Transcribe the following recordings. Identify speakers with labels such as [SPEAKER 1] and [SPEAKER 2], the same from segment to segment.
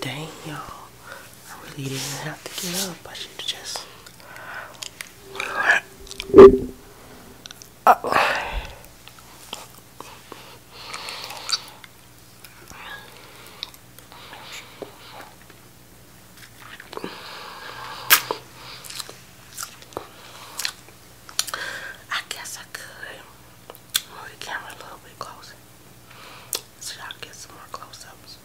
[SPEAKER 1] Dang, y'all. I really didn't have to get up. I should just. Oh. I guess I could move the camera a little bit closer so y'all get some more close ups.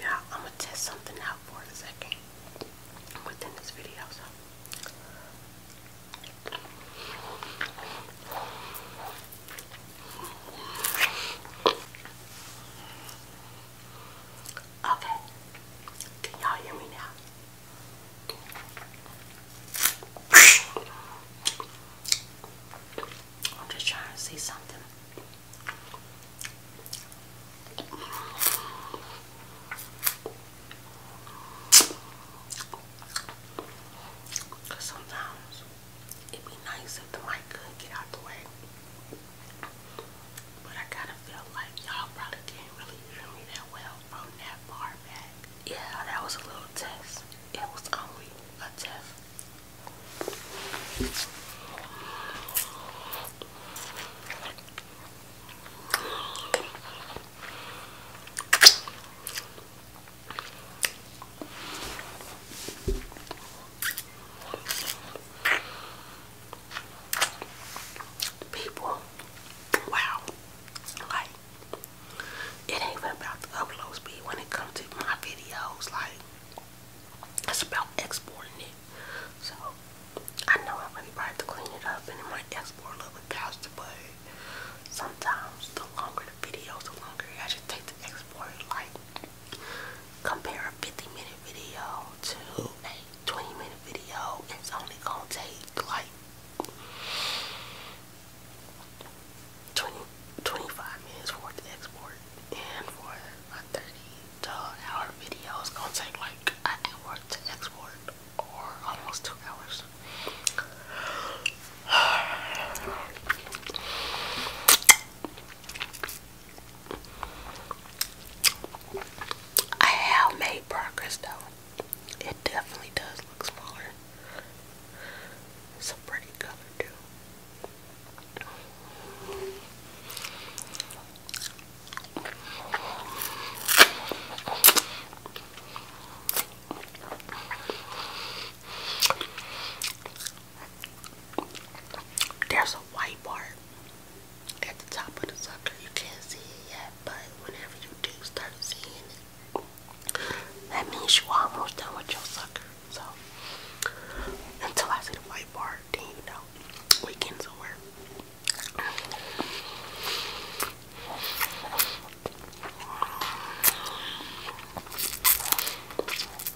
[SPEAKER 1] Yeah, I'm gonna test something out for a second within this video. Okay. Can y'all hear me now? I'm just trying to see something. sometimes it'd be nice if the mic could get out the way. But I kind of felt like y'all probably can't really hear me that well from that far back. Yeah, that was a little test. It was only a test. People, wow, like it ain't even about the upload speed when it comes to my videos. Like it's about exporting it. So I know I really probably have to clean it up and it might export a faster, but sometimes the longer the videos, the longer I just take to export. Like Compare a 50 minute video to a 20 minute video, it's only gonna take like 20, 25 minutes for the export, and for a 30 to hour video, it's gonna take like an hour to export, or almost two hours. I have made progress though. It definitely does look smaller. It's a pretty color too. There's a white bar at the top of the sucker. You can't see it yet, but whenever you do start seeing it, that means you're almost done with your sucker. So, until I see the white bar, then you know we can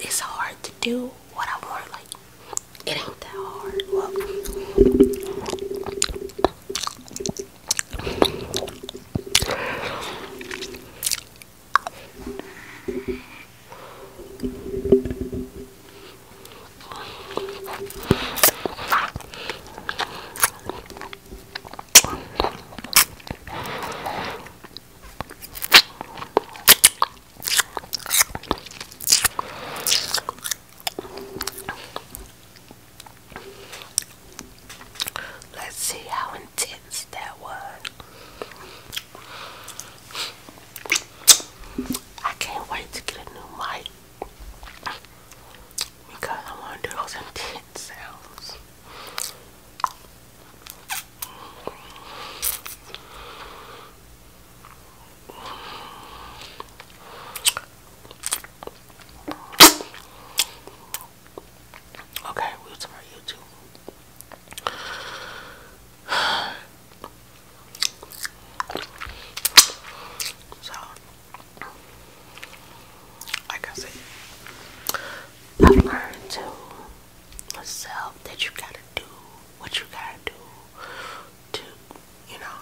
[SPEAKER 1] it's hard to do what I want. Like, it ain't that hard. Well, Let's see how intense that was. I can't wait to get a new mic because I want to do those intense sounds. Okay, we'll talk YouTube. So, like I said, I learned to myself that you gotta do what you gotta do to, you know,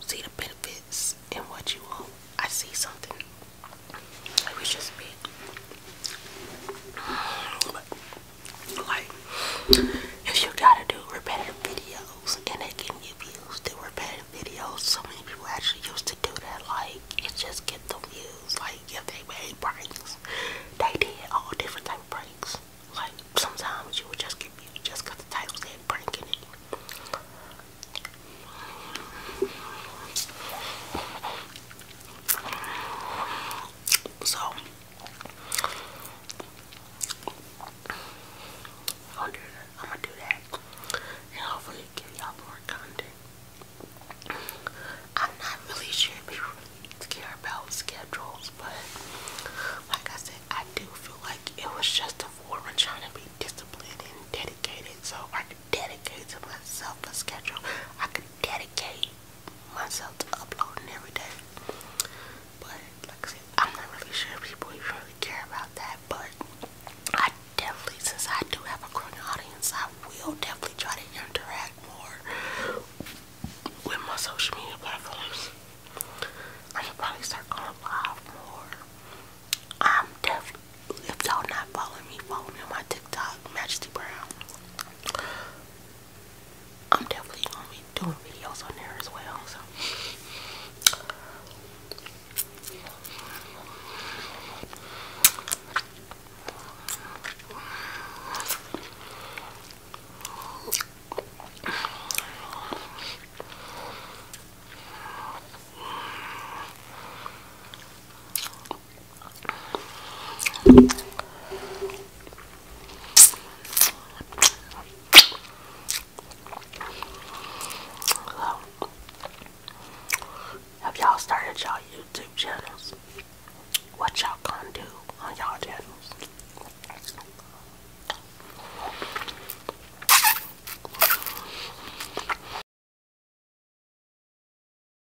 [SPEAKER 1] see the benefits in what you want. I see something. It was just big. Like, if you gotta do repetitive videos and they can get views, do repetitive videos. So many people actually used to do that. Like, it just get the views. Like, if they made pranks, they did all different type of pranks. Like, sometimes you would just get views just because the title said prank in it. So i am gonna do that. And hopefully give y'all more content. I'm not really sure if people care about schedules, but like I said, I do feel like it was just a form of trying to be disciplined and dedicated. So I can dedicate to myself a schedule. I can dedicate myself to uploading every day. But like I said, I'm not really sure people even really care about that. But I definitely, since I do have a growing audience, I will definitely try to interact more with my social media platforms. I'm probably start going live more. I'm definitely, if y'all not following me, follow me on my TikTok, Majesty Brown. I'm definitely gonna be doing videos on there as well. So have y'all started y'all YouTube channels? What y'all gonna do on y'all channels?